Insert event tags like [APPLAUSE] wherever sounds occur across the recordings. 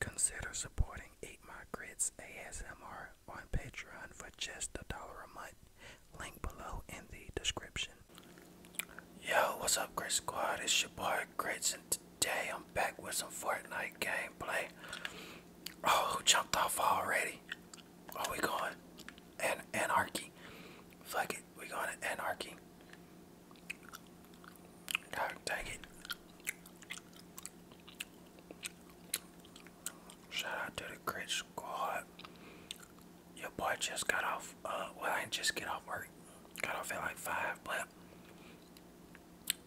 Consider supporting Eat My Grits ASMR on Patreon for just a dollar a month. Link below in the description. Yo, what's up, Grit Squad? It's your boy Grits, and today I'm back with some Fortnite gameplay. Oh, who jumped off already? Are oh, we going? An anarchy. Fuck it. We going to anarchy. God dang it. Shout out to the crit squad. Your boy just got off. Uh, well, I just get off work. Got off at like 5, but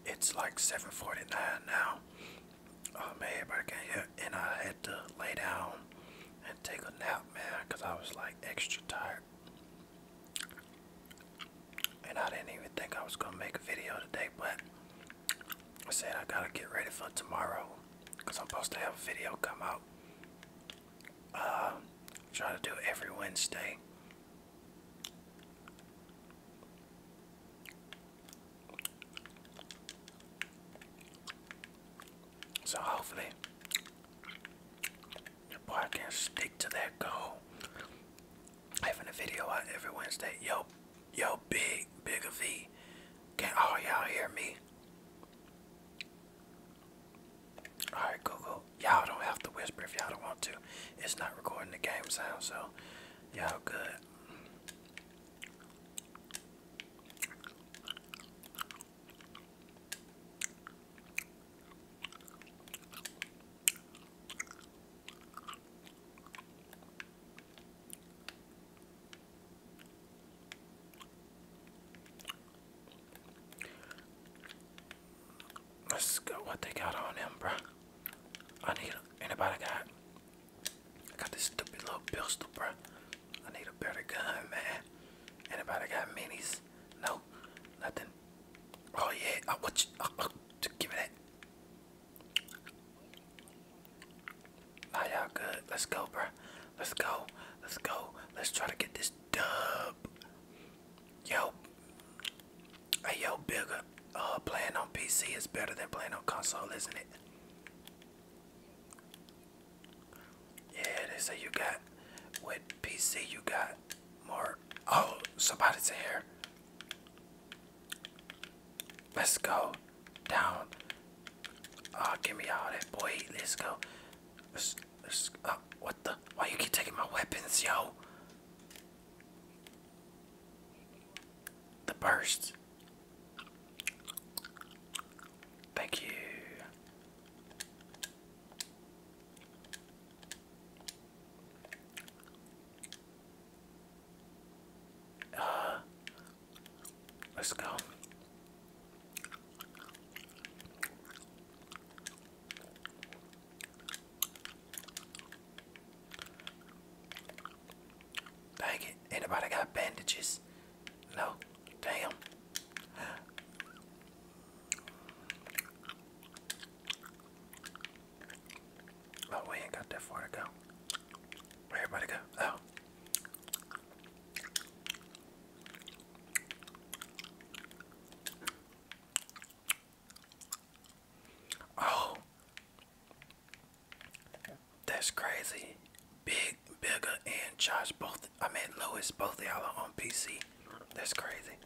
it's like 7.49 now. Oh man, everybody came here and I had to lay down and take a nap, man, because I was like extra tired. And I didn't even think I was gonna make a video today, but I said I gotta get ready for tomorrow because I'm supposed to have a video come out. Uh, try to do it every Wednesday. So hopefully your boy can stick to that goal. Having a video out every Wednesday. Yo, yo, big, big of V. Can all y'all hear me? Alright, Google. Y'all don't have to whisper if y'all don't want to. It's not recording the game sound, so y'all good. Let's go what they got on him, bro? I need anybody got I got this stupid little pistol, bro. I need a better gun, man. Anybody got minis? No, nothing. Oh yeah, I want you. Oh, oh, give me Now y'all good. Let's go, bruh. Let's go. Let's go. Let's try to get this dub. Yo. Hey, yo, bigger. Oh, playing on PC is better than playing on console, isn't it? Yeah, they say you got with PC you got more oh somebody's here. Let's go down. Ah, give me all that boy. Let's go. Uh, what the? Why you keep taking my weapons, yo? The bursts. Thank you. Uh, let's go. Dang it. Anybody got bandages? No. Damn. Oh, we ain't got that far to go. Where everybody go? Oh. Oh. That's crazy. Big, Bigger, and Josh, both, I mean, Louis, both y'all are on PC. That's crazy.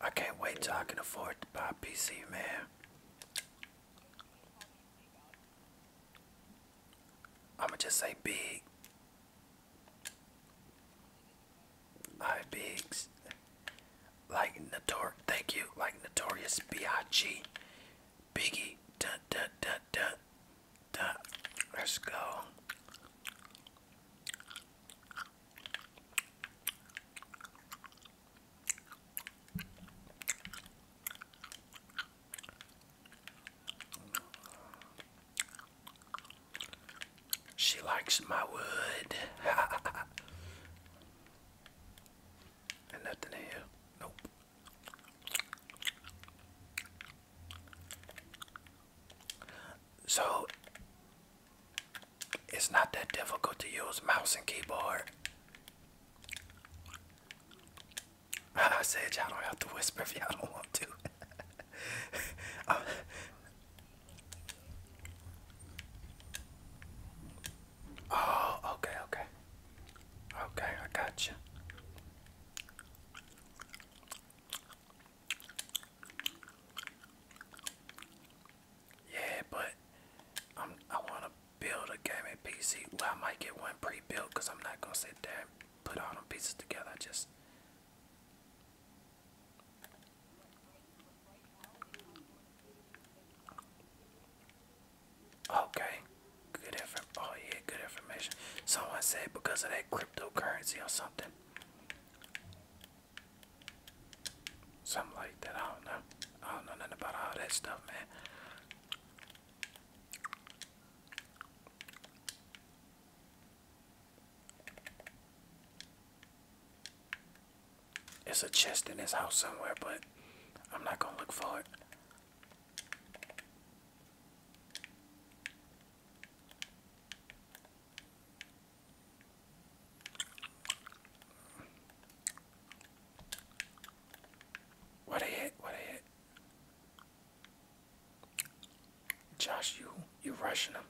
I can't wait till I can afford to buy a PC, man. I'ma just say big. Alright, bigs. Like Notor thank you, like Notorious B.I.G. Biggie, dun dun dun dun dun. Let's go. She likes my wood. [LAUGHS] And nothing here. Nope. So it's not that difficult to use mouse and keyboard. [LAUGHS] I said y'all don't have to whisper if y'all don't want to. [LAUGHS] Uh, Oh, okay, okay. Okay, I got you. Yeah, but I'm, I want to build a gaming PC. Well, I might get one pre-built because I'm not going to sit there and put all them pieces together. I just... Okay, good effort. Oh yeah, good information. Someone said because of that cryptocurrency or something. Something like that. I don't know. I don't know nothing about all that stuff, man. It's a chest in his house somewhere, but I'm not gonna look for it. What a hit, what a hit. Josh, you you rushing him.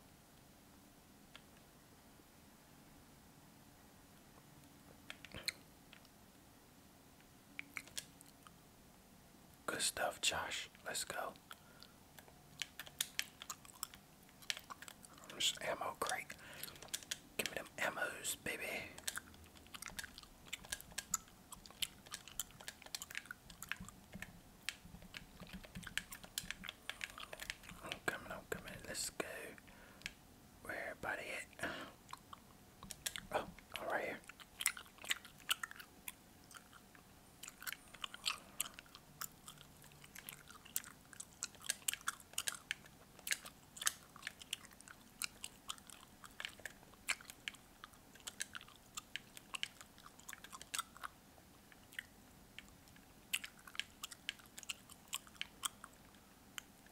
Good stuff, Josh. Let's go. There's ammo crate. Give me them ammos, baby. I'm coming, I'm coming. Let's go. Where buddy it? Oh, right here.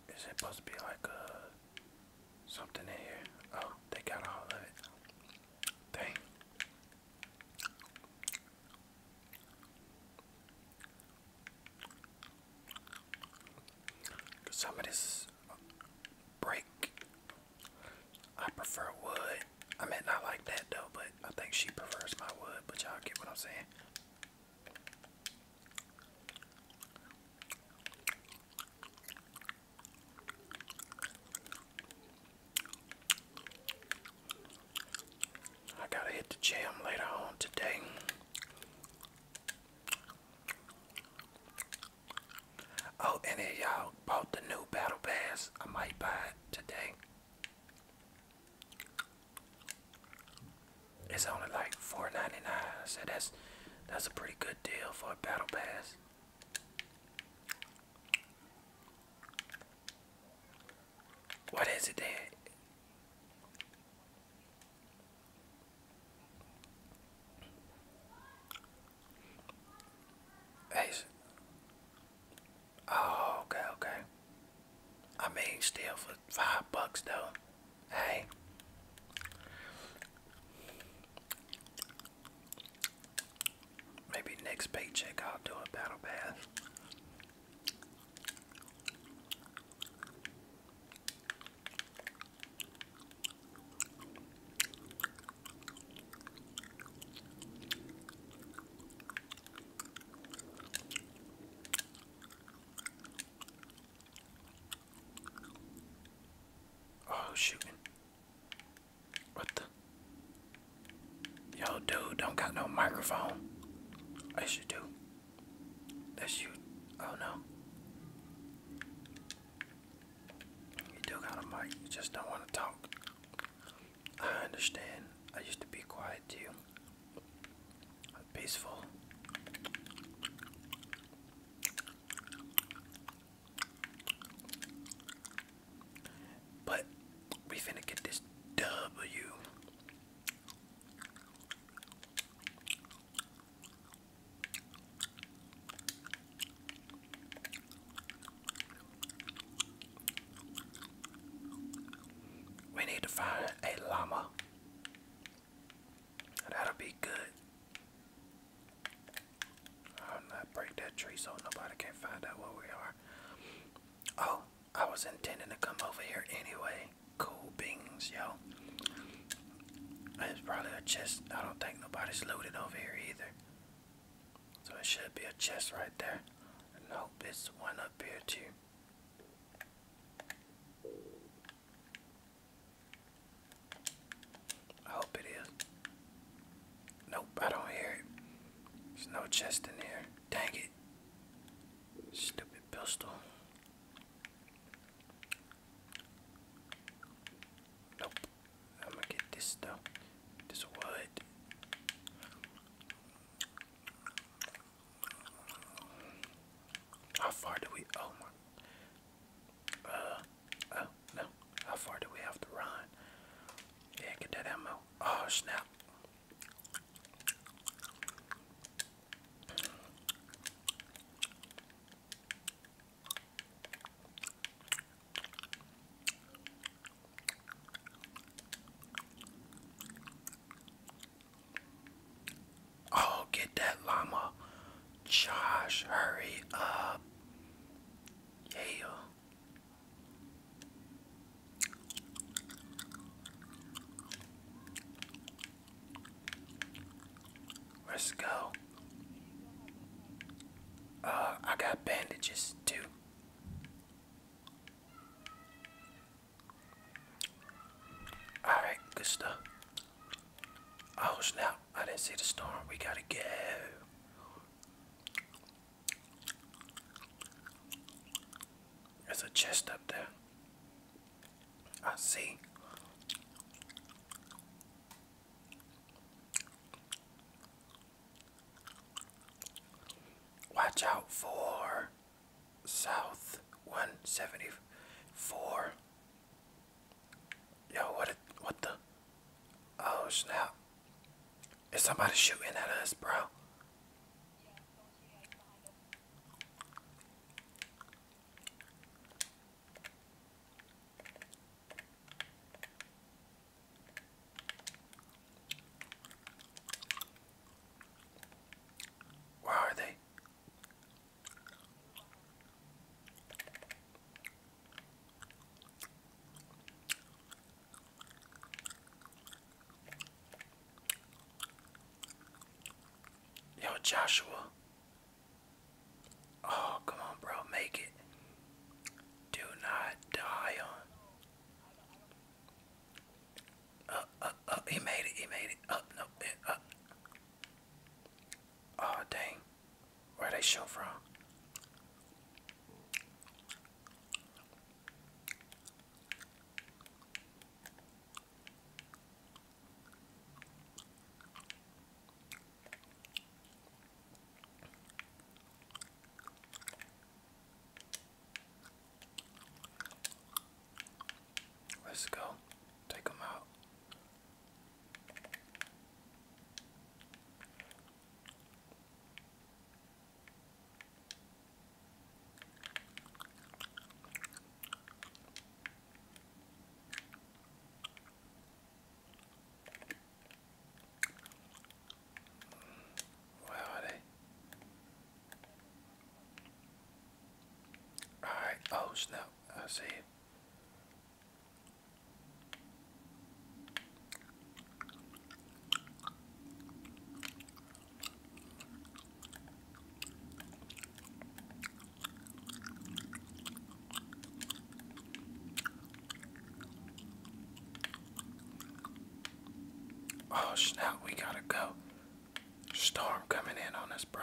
Is it supposed to be like a uh, something in here? Oh, they got all of it. Dang. Some break. I prefer wood. I mean, not like that though, but I think she prefers my wood. But y'all get what I'm saying. I gotta hit the gym later on today. Oh, and if y'all bought the new battle pass, I might buy it today. It's only like $4.99. So that's that's a pretty good deal for a battle pass. What is it Dad? Hey. Oh, okay, okay. I mean, still for five bucks though. Hey. Maybe next paycheck I'll do a battle pass. Oh, shoot! What the? Yo, dude, don't got no microphone. I should do. That's you. Oh, no. You do got a mic. You just don't want to talk. I understand. I used to be quiet too peaceful. But we finna get this W. We need to find a llama. That'll be good. I'll not break that tree so nobody can find out where we are. Oh, I was intending to come over here anyway. Cool beans, yo. It's probably a chest. I don't think nobody's looted over here either. So it should be a chest right there. I hope it's one up here too. I hope it is. Nope, I don't hear it. There's no chest in here. Dang it. Stupid pistol. Nope. I'm gonna get this stuff. This wood. How far do we? Oh my. Uh, oh no. How far do we have to run? Yeah, get that ammo. Oh snap. Oh, get that llama. Josh, hurry up. Yeah. Let's go. Uh, I got bandages too. Alright, good stuff. Oh snap, I didn't see the storm. We gotta go. There's a chest up there. I see. Watch out for South 174. Yo, what? what the? Oh snap! Is somebody shooting at us, bro? Where are they? Yo, Joshua. Oh, come on, bro. Make it. Do not die on. Up, uh, up, uh, up. Uh, he made it. He made it. Up, no, up. Oh dang. Where they show from? Let's go. Take them out. Where are they? All right. Oh snap! I see. Oh, snout, we gotta go. Storm coming in on us, bro.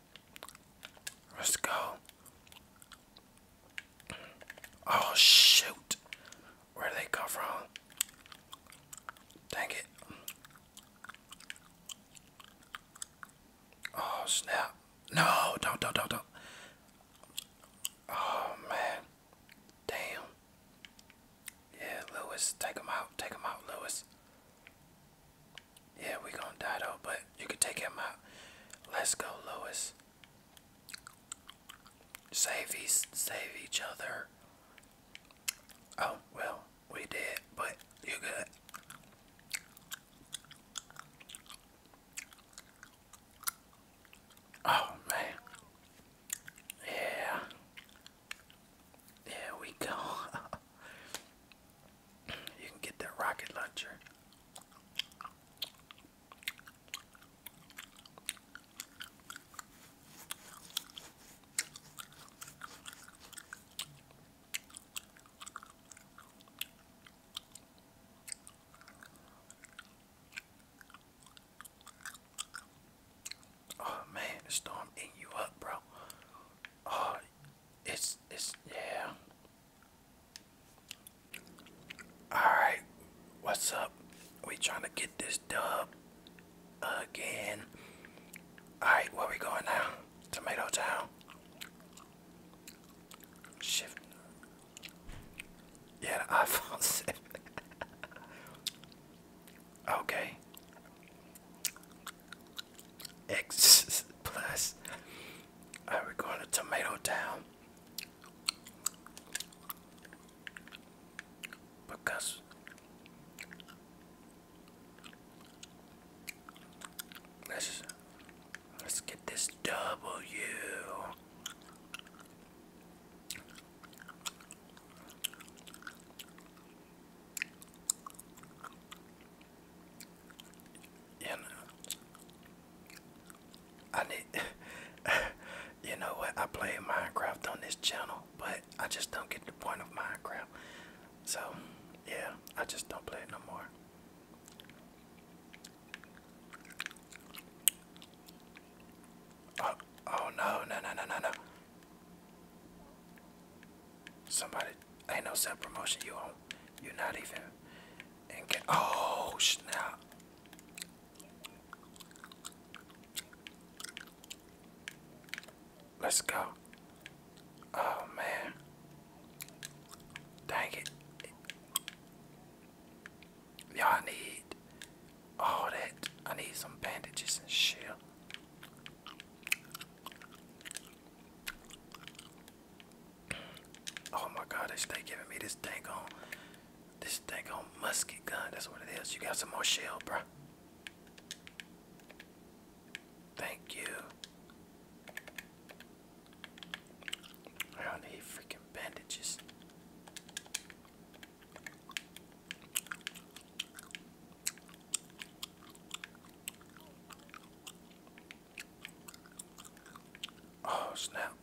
Let's go. Oh shoot. Where did they come from? Dang it. Oh snap. No, don't don't don't don't. Oh man. Damn. Yeah, Lewis, take him out. Take him out, Lewis. Yeah, we gonna die though, but you can take him out. Let's go, Lewis. Save e save each other. Oh well, we did, but you good. Oh man. Yeah. There we [LAUGHS] go. You can get that rocket launcher. Oh man, the storm eating you up, bro. Oh, it's it's yeah. Alright, what's up? We trying to get this done again. Alright, where we going now? Tomato Town. Shift. Yeah, the iPhone [LAUGHS] 7. okay. X [LAUGHS] plus. Are uh, we going to Tomato Town? Because let's let's get this W you know, I need, [LAUGHS] you know what, I play Minecraft on this channel, but I just don't get the point of Minecraft. So, yeah, I just don't play it no more. Oh, oh no, no, no, no, no. Somebody ain't no self promotion. You on? You not even? And get oh snap! Let's go. Oh man! Dang it! Y'all need all that. I need some bandages and shit. Oh my god, they stay giving me this thing on this thing on musket gun. That's what it is. You got some more shell, bro. Thank you. I need freaking bandages. Oh snap.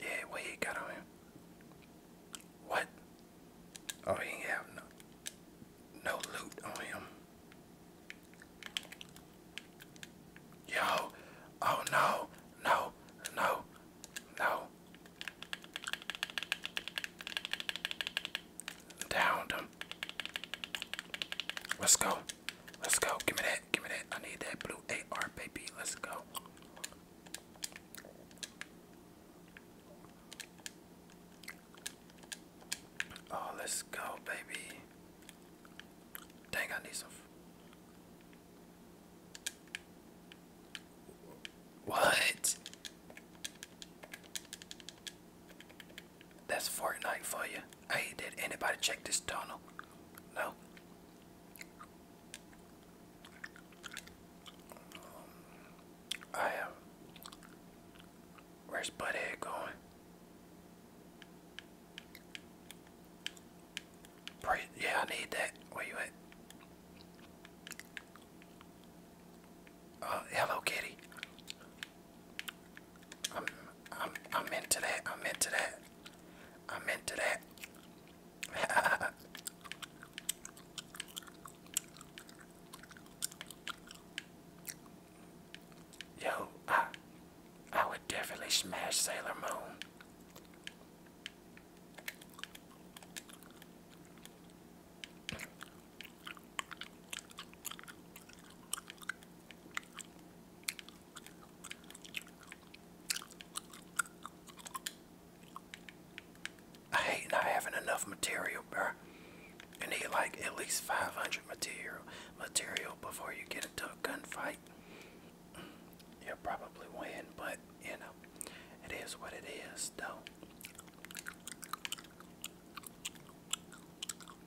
Yeah, what got him? What? Oh he ain't have no no loot on him. Yo, oh no, no, no, no. Downed him. Let's go. Let's go. Give me that. Give me that. I need that blue AR, baby. Let's go. Oh, let's go, baby. Dang, I need some. What? That's Fortnite for you. Hey, did anybody check this tunnel? No. I have. Um, where's Buddy going? yeah, I need that. Where you at? Uh, hello, kitty. I'm I'm I'm into that. I'm into that. I'm into that. [LAUGHS] Yo, I I would definitely smash Sailor Moon. I hate not having enough material, bruh. You need like at least 500 material material before you get into a gunfight. Mm, you'll probably win, but you know, it is what it is, though.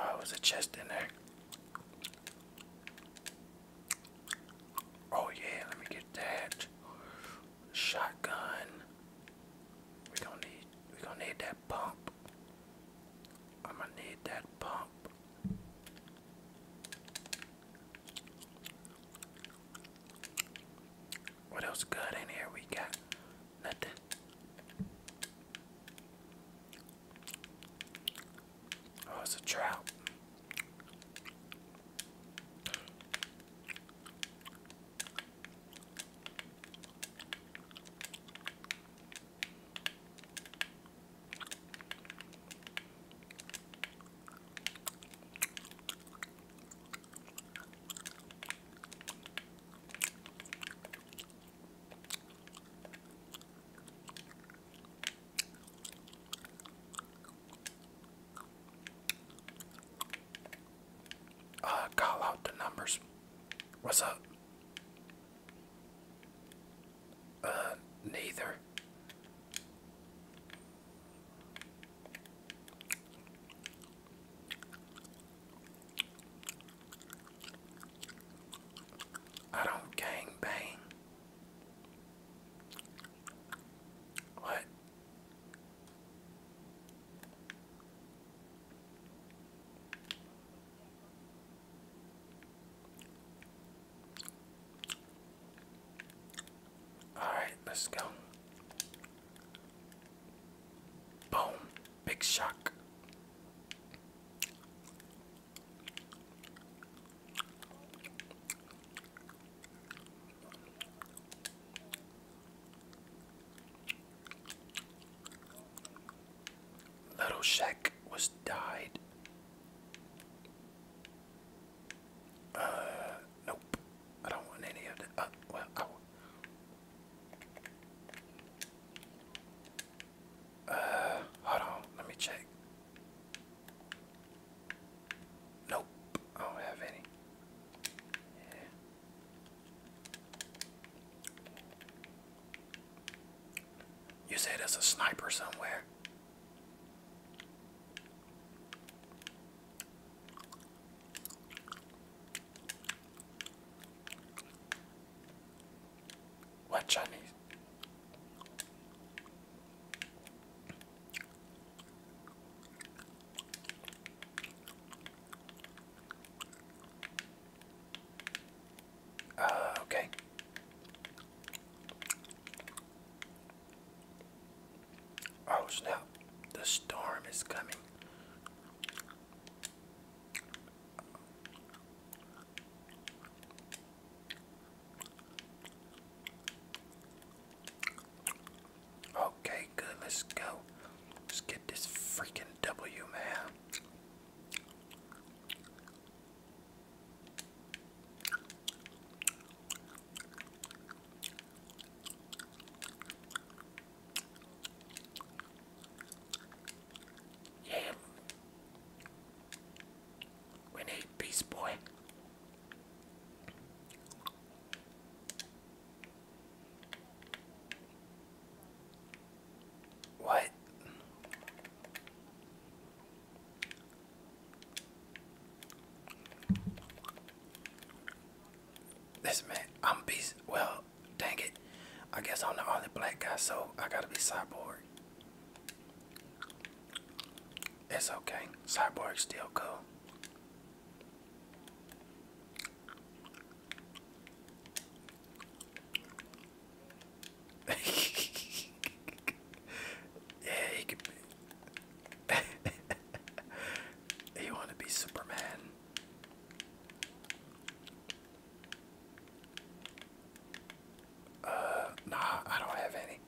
Oh, there's a chest in there. Oh, yeah, let me get that. Shotgun. we gonna need, we gonna need that pump. I'm gonna need that pump. What else good in here? We got nothing. Oh, it's a trout. Uh, call out the numbers. What's up? Uh, neither. I don't gang bang. What? Alright, let's go. Boom. Big shock. Little Shek was died. Uh, nope. I don't want any of that. Uh, well, Uh, hold on. Let me check. Nope. I don't have any. Yeah. You it as a sniper somewhere. What Chinese? Uh, okay. Oh snap, the storm is coming. Okay, good, let's go. Let's get this freaking W, man. We need peace, boy. What? This man, I'm beast. Well, dang it. I guess I'm the only black guy, so I gotta be cyborg. It's okay. Cyborg's still cool yeah, he could [LAUGHS] he want to be Superman. Uh, nah, I don't have any.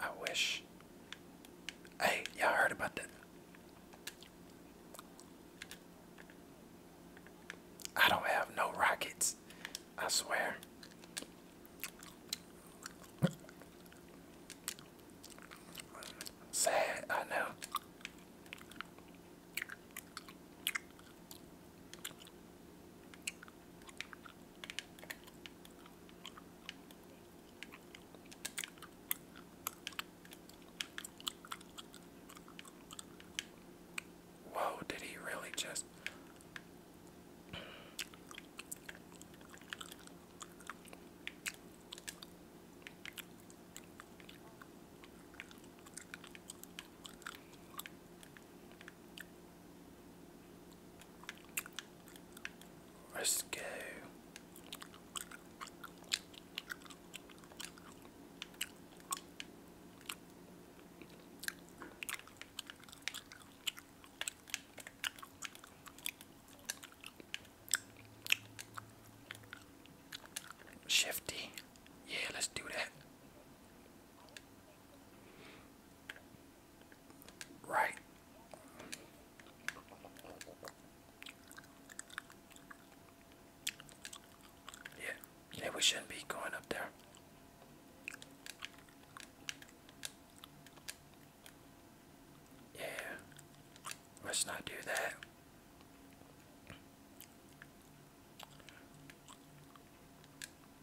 I wish. Hey, y'all heard about that? I don't have no rockets. I swear. Sad, I know. Whoa, did he really just. let Shifty. Yeah, let's do that. Right. Yeah, yeah, we shouldn't be going up there. Yeah, let's not do that.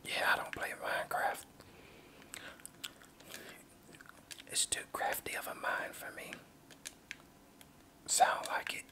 Yeah, I don't play Minecraft. It's too crafty of a mind for me. Sound like it.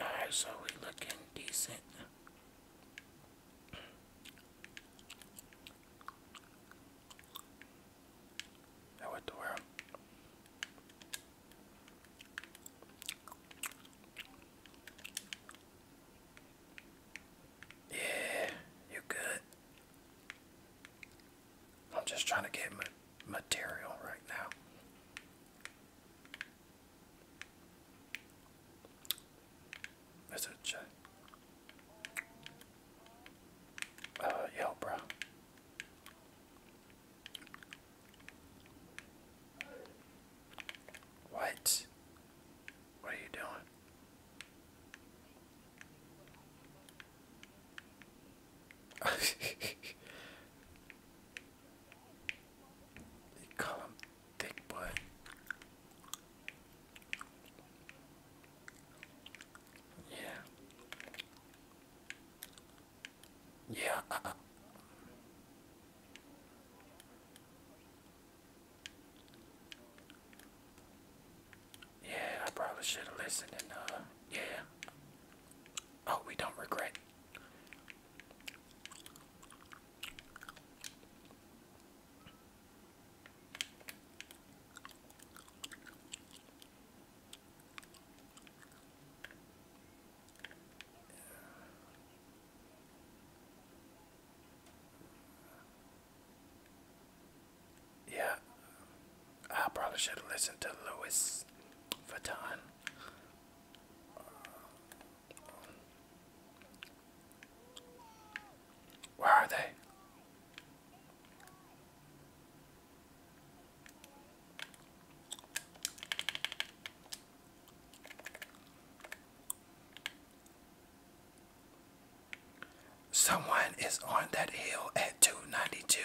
Alright, so we looking decent. Now what the world? Yeah, you're good. I'm just trying to get ma material right now. Is it check? Uh, bro. What? What are you doing? they call him thick boy. Yeah. Yeah. Uh, uh. Yeah, I probably should have listened and uh yeah. Oh, we don't regret. Yeah, I probably should have listened to Louis Vuitton. where are they? Someone is on that hill at 292.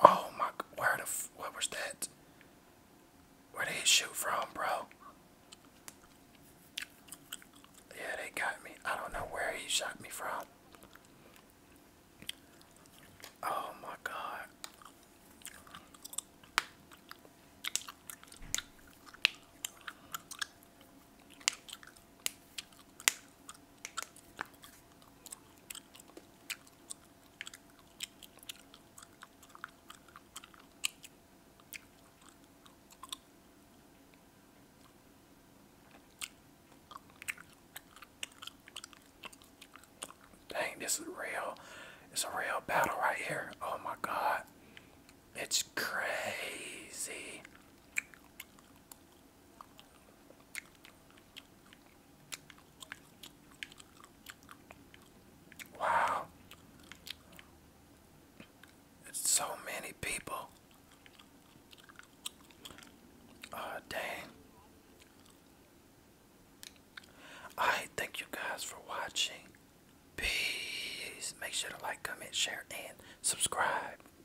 Oh my, where the, what was that? Where did he shoot from, bro? Yeah, they got me. I don't know where he shot me from. Oh my god. Dang, this is real. It's a real battle right here. Oh my god. It's crazy. Wow. It's so many people. Ah, dang. Alright, thank you guys for watching. Peace. Make sure to like, comment, share, and subscribe.